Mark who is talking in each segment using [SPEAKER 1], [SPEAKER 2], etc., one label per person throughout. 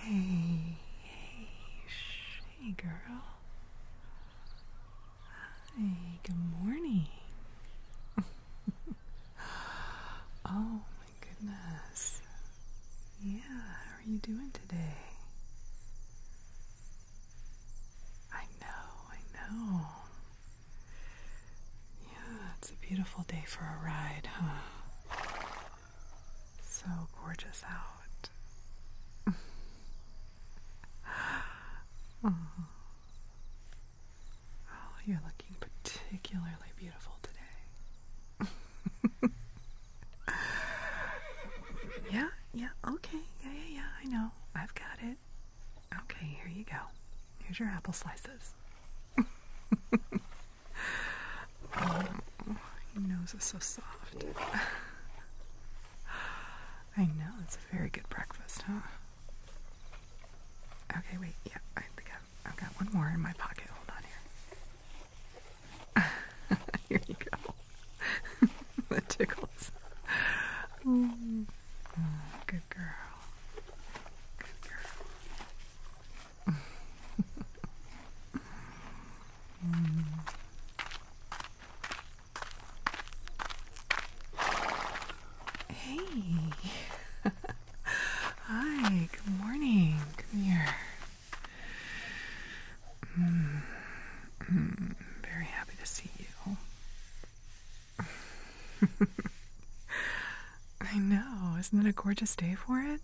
[SPEAKER 1] Hey, hey, girl. Hey, good morning. oh, my goodness. Yeah, how are you doing today? I know, I know. Yeah, it's a beautiful day for a ride, huh? So gorgeous out. oh. you're looking particularly beautiful today. yeah, yeah, okay. Yeah, yeah, yeah, I know. I've got it. Okay, here you go. Here's your apple slices. Oh, your nose is so soft. I know, it's a very good breakfast, huh? Okay, wait, yeah, I got one more in my pocket. Hold on here. here you
[SPEAKER 2] go. that tickles. Oh, good girl. Good girl.
[SPEAKER 1] Hey. Hi, good morning. Come here. Mm, mm, very happy to see you. I know. Isn't it a gorgeous day for it?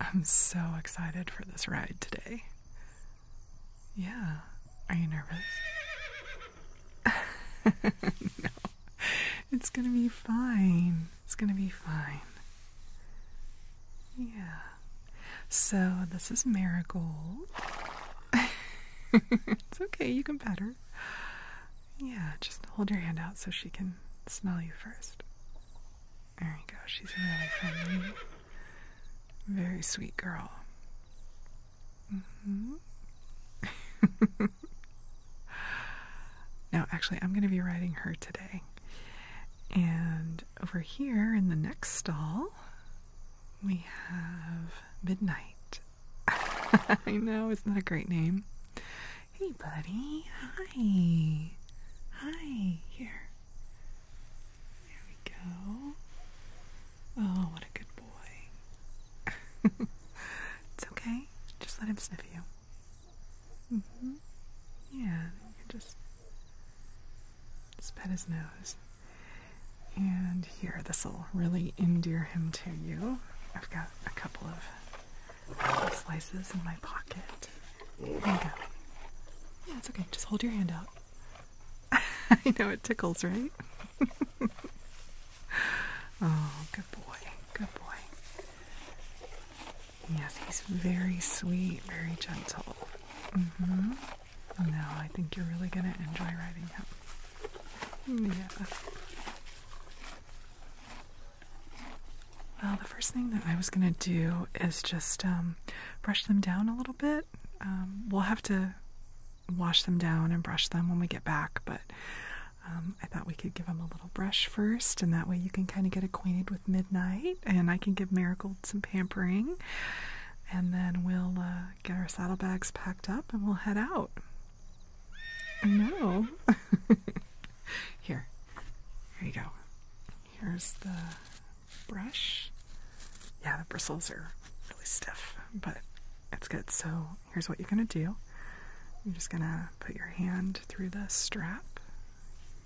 [SPEAKER 1] I'm so excited for this ride today. Yeah. Are you nervous? no. It's gonna be fine. It's gonna be fine. Yeah. So, this is Marigold. it's okay, you can pet her. Yeah, just hold your hand out so she can smell you first. There oh my go. she's really friendly. Very sweet girl. Mm now, actually, I'm going to be riding her today. And over here in the next stall, we have Midnight. I know, it's not a great name? Hey, buddy. Hi. Hi. Here. There we go. Oh, what a good boy. it's okay. Just let him sniff you. Mm -hmm. Yeah, just, just pet his nose. And here, this will really endear him to you. I've got a couple of slices in my pocket. Yeah, it's okay. Just hold your hand out. I know it tickles, right? oh, good boy. Good boy. Yes, he's very sweet, very gentle. Mm-hmm. No, I think you're really gonna enjoy riding him. Yeah. Well, the first thing that I was going to do is just um, brush them down a little bit. Um, we'll have to wash them down and brush them when we get back, but um, I thought we could give them a little brush first, and that way you can kind of get acquainted with midnight, and I can give Marigold some pampering, and then we'll uh, get our saddlebags packed up and we'll head out. No. Here. Here you go. Here's the brush. Yeah, the bristles are really stiff, but it's good. So here's what you're going to do. You're just going to put your hand through the strap.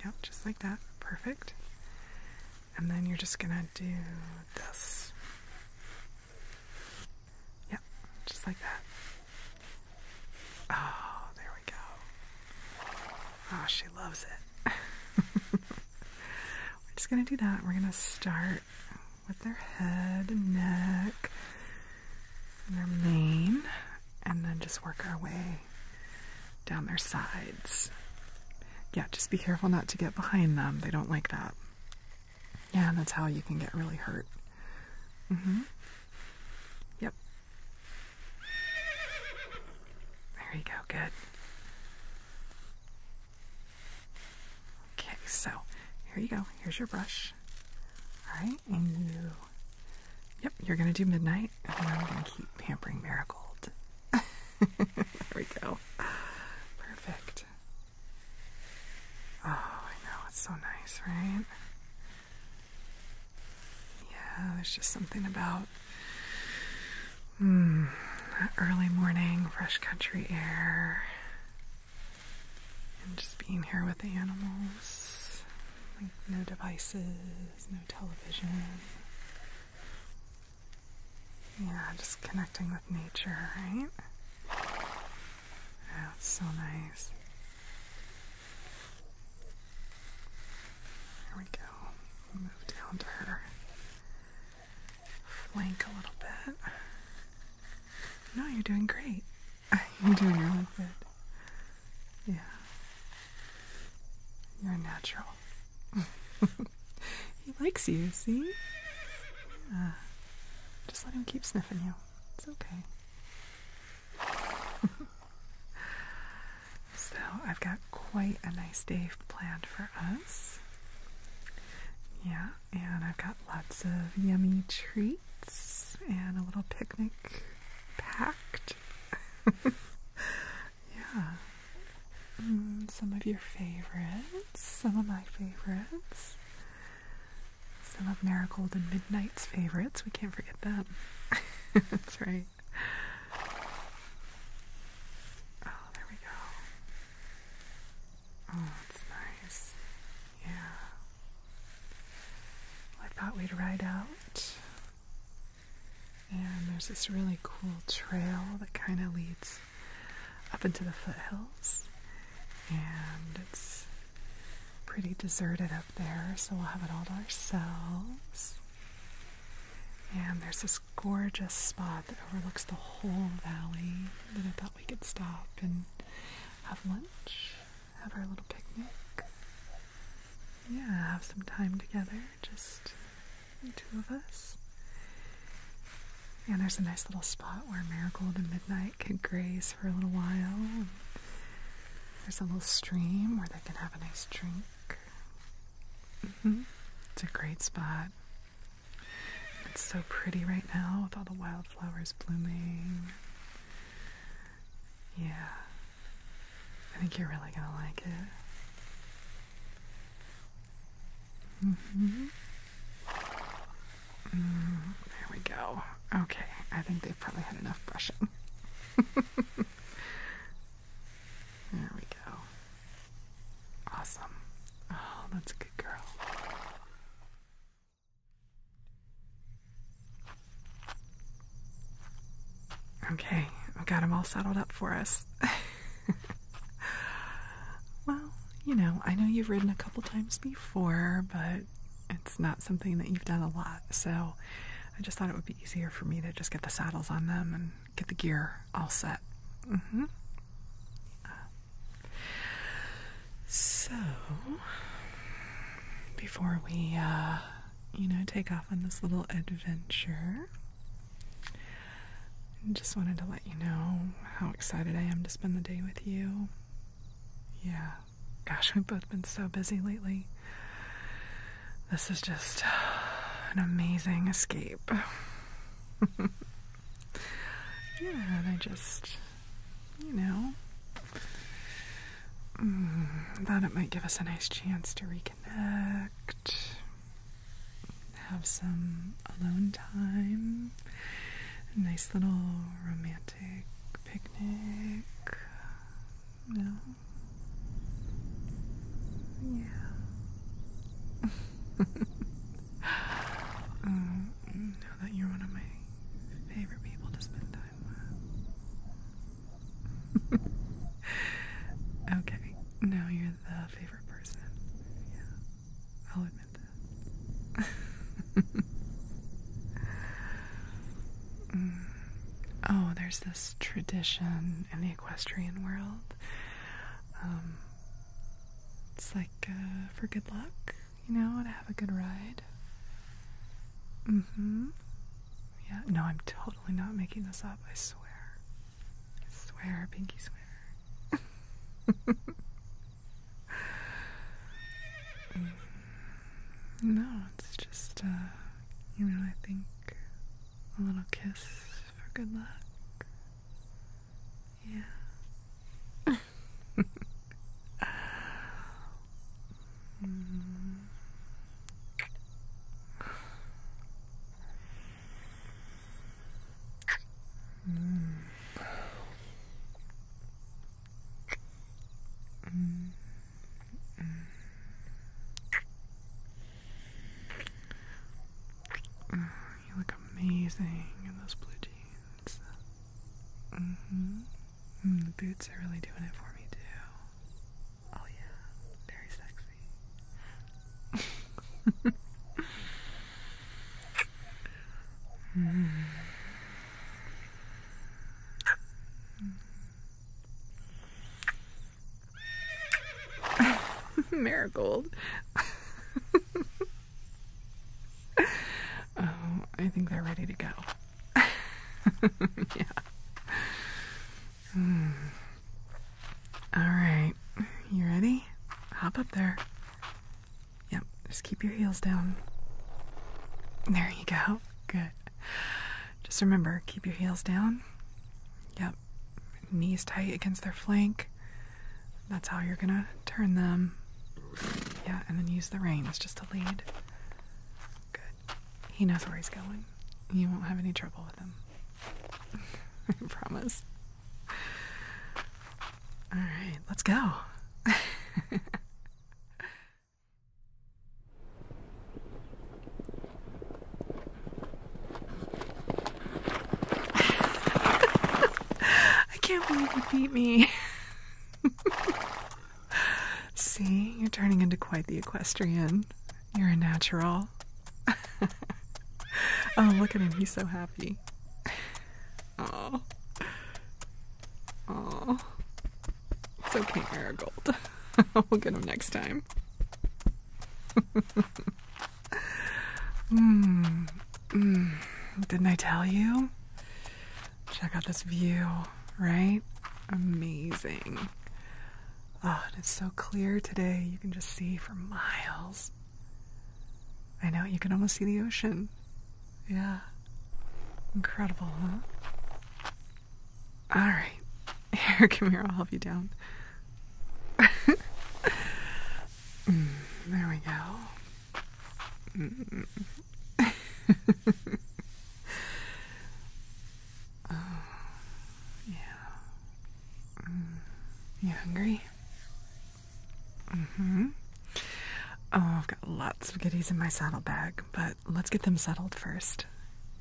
[SPEAKER 1] Yep, just like that. Perfect. And then you're just going to do this. Yep, just like that. Oh, there we go. Oh, she loves it. We're just going to do that. We're going to start with their head and neck their mane, and then just work our way down their sides. Yeah, just be careful not to get behind them. They don't like that. Yeah, that's how you can get really hurt. Mm hmm Yep, there you go, good. Okay, so here you go. Here's your brush. Alright, and you. Yep, you're gonna do midnight, and then I'm gonna keep pampering Marigold. there we go. Perfect. Oh, I know, it's so nice, right? Yeah, there's just something about Hmm, early morning, fresh country air, and just being here with the animals. Like no devices, no television. Yeah, just connecting with nature, right? Yeah, oh, it's so nice. There we go. move down to her flank a little bit. No, you're doing great. You're doing really good. Yeah. You're natural. he likes you, see? Uh, just let him keep sniffing you. It's okay. So I've got quite a nice day planned for us. Yeah, and I've got lots of yummy treats and a little picnic packed. yeah. Mm, some of your favorites, some of my favorites, some of Marigold and Midnight's favorites. We can't forget them. That's right oh, there we go. Oh, it's nice. Yeah. I thought we'd ride out. And there's this really cool trail that kind of leads up into the foothills. And it's pretty deserted up there, so we'll have it all to ourselves. And there's this gorgeous spot that overlooks the whole valley that I thought we could stop and have lunch, have our little picnic. Yeah, have some time together, just the two of us. And there's a nice little spot where Marigold and Midnight can graze for a little while. And there's a little stream where they can have a nice drink. Mm-hmm. It's a great spot. It's so pretty right now with all the wildflowers blooming. Yeah. I think you're really going to like it. Mm-hmm. Mm, there we go. Okay, I think they've probably had enough brushing. There we go. Awesome. Oh, that's a good girl. Okay, I got them all saddled up for us. well, you know, I know you've ridden a couple times before, but it's not something that you've done a lot, so I just thought it would be easier for me to just get the saddles on them and get the gear all set. Mm-hmm. so, before we, uh, you know, take off on this little adventure, just wanted to let you know how excited I am to spend the day with you. Yeah, gosh, we've both been so busy lately. This is just an amazing escape. yeah, I just, you know, mm, thought it might give us a nice chance to reconnect, have some alone time, nice little romantic picnic. No. Yeah. Mm, now that you're one of my favorite people to spend time with. okay, now you're the favorite person. Yeah, I'll admit that. Mm. Oh, there's this tradition equestrian world. Um, it's like uh, for good luck, you know, to have a good ride. Mm hmm. Yeah, no, I'm totally not making this up, I swear. I swear, pinky swear. Mm. no, it's just, uh, you know, I think a little kiss for good luck.
[SPEAKER 2] Yeah. Mm.
[SPEAKER 1] Mm. you look amazing in those blue jeans. Mm-hmm. Mm, the boots are really doing it for me, too. Oh, yeah. Very sexy. Mm. Marigold. oh, I think they're ready to go. yeah. Hmm. All right. You ready? Hop up there. Yep. Just keep your heels down. There you go. Good. Just remember, keep your heels down. Yep knees tight against their flank. That's how you're gonna turn them. Yeah, and then use the reins just to lead. Good. He knows where he's going. You won't have any trouble with him. I promise. All right, let's go. I can't believe you beat me. See, you're turning into quite the equestrian. You're a natural. oh, look at him. He's so happy. Oh. Oh. It's okay, Marigold. we'll get him next time. Hmm, hmm. didn't I tell you? Check out this view, right? Amazing. Oh, it's so clear today. You can just see for miles. I know, you can almost see the ocean. Yeah. Incredible, huh? All right. Here, come here. I'll help you down. Mm, there we go. Mm. oh, yeah. Mm. You hungry? Mm-hmm. Oh, I've got lots of goodies in my saddlebag, but let's get them settled first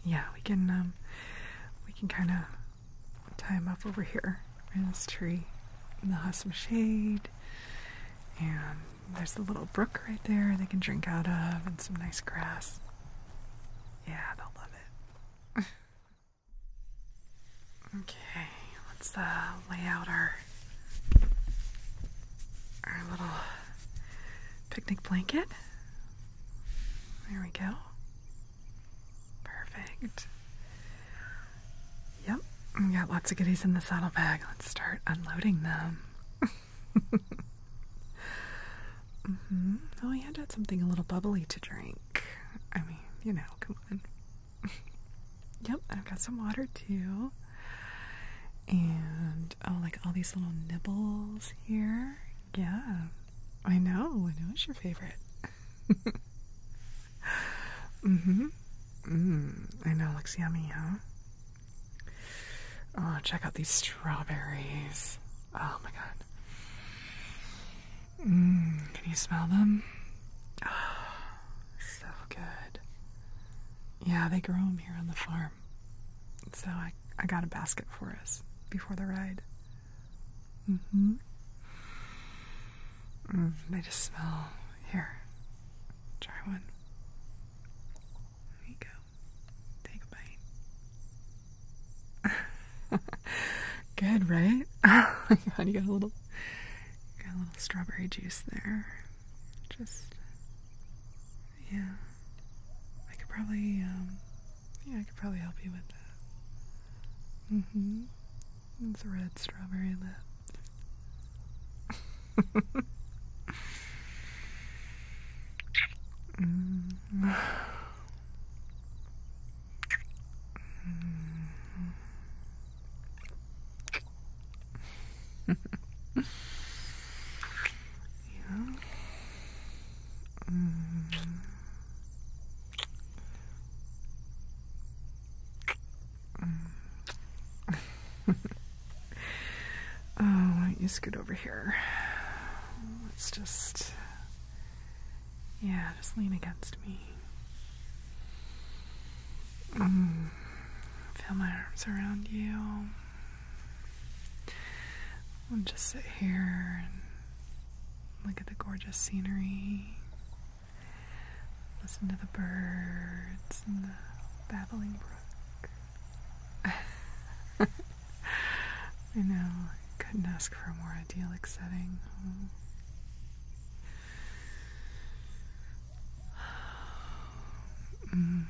[SPEAKER 1] yeah, we can um we can kind of tie them up over here in this tree. And they'll have some shade, and there's the little brook right there they can drink out of, and some nice grass. Yeah, they'll love it. okay, let's uh, lay out our our little picnic blanket. There we go. Perfect. Yep, we got lots of goodies in the saddlebag. Let's start unloading them. Mm-hmm. Oh, we had to add something a little bubbly to drink. I mean, you know, come on. yep, I've got some water too. And oh, like all these little nibbles here. Yeah. I know. I know it's your favorite. Mhm. hmm I know. Looks yummy, huh? Oh, check out these strawberries. Oh my god. Mm, can you smell them? Oh, so good. Yeah, they grow them here on the farm. So I, I got a basket for us before the ride. Mm hmm. Mm, they just smell. Here, try one. There you go. Take a bite. Good, right? Oh my god, you got a little, got a little strawberry juice there. Just, yeah. I could probably um, yeah, I could probably help you with that. Mm hmm. It's a red strawberry lip. mm -hmm.
[SPEAKER 2] yeah. Mm.
[SPEAKER 1] oh, why do you scoot over here? Let's just. Yeah, just lean against me. Mm. Feel my arms around you. And just sit here Look at the gorgeous scenery. Listen to the birds and the babbling brook. I know, couldn't ask for a more idyllic setting.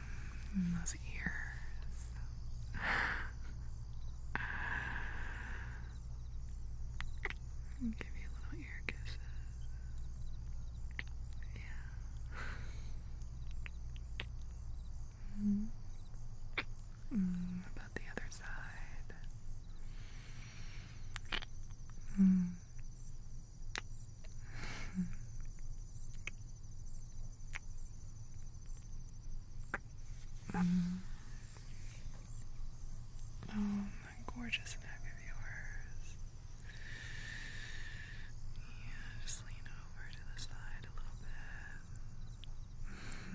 [SPEAKER 1] Mm, those ears. I'll give you little ear kisses. Yeah. Mm, about the other side. Mm. Oh, my gorgeous neck of yours. Yeah, just lean over to the side a little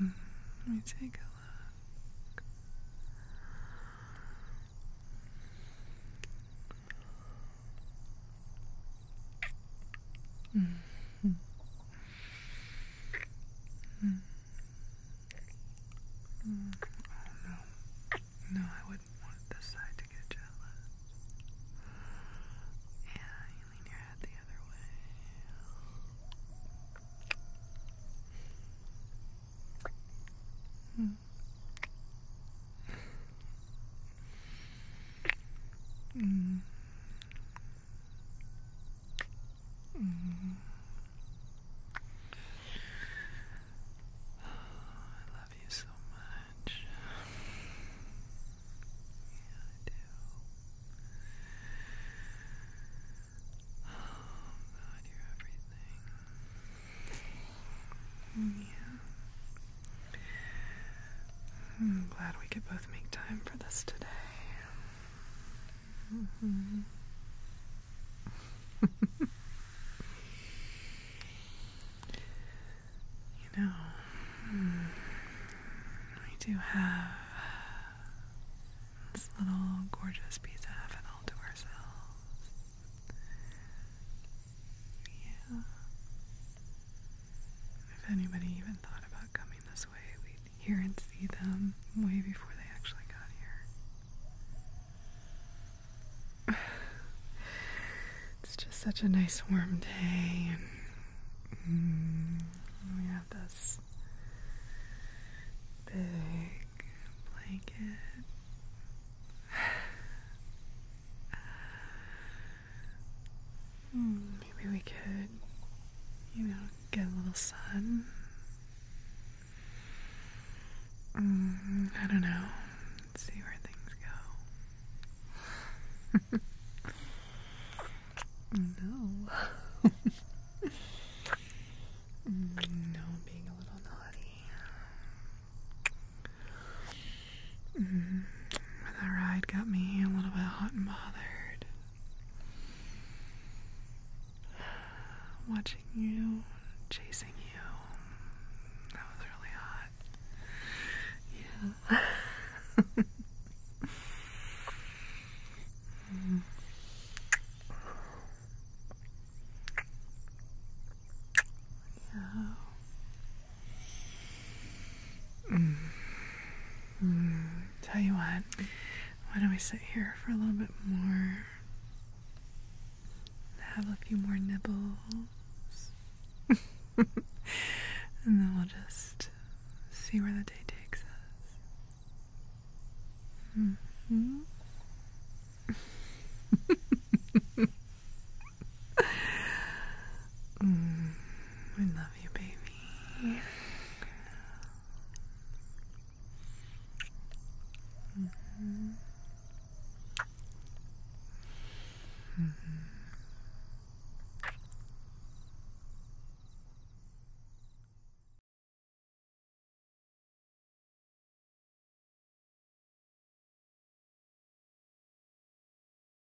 [SPEAKER 1] bit. Let me take a
[SPEAKER 2] look. Mm-hmm.
[SPEAKER 1] Mm. mm. mm. no. I wouldn't want this side to get jealous. Yeah, you lean your head the other way.
[SPEAKER 2] Mm. Mm. Mm. I love you so much. Yeah,
[SPEAKER 1] I do. Oh, God, you're everything. Yeah. I'm mm, glad we could both make time for this today. Mm -hmm. you know, we hmm, do have this little gorgeous piece of heaven all to ourselves. Yeah. If anybody even thought about coming this way, we here and see them way before they actually got here. it's just such a nice warm day, and mm, we have this big blanket. Uh, maybe we could, you know, get a little sun. Mm, I don't know. see where things go. no. no, being a little naughty. Mm, that ride got me a little bit hot and bothered. Watching you, chasing you. That was really hot. Yeah. Yeah. Mm. Mm. Tell you what, why don't we sit here for a little bit more? Have a few more nibbles. and then we'll just see where the day takes us. Mm-hmm.
[SPEAKER 2] mm mm
[SPEAKER 1] we love you, baby.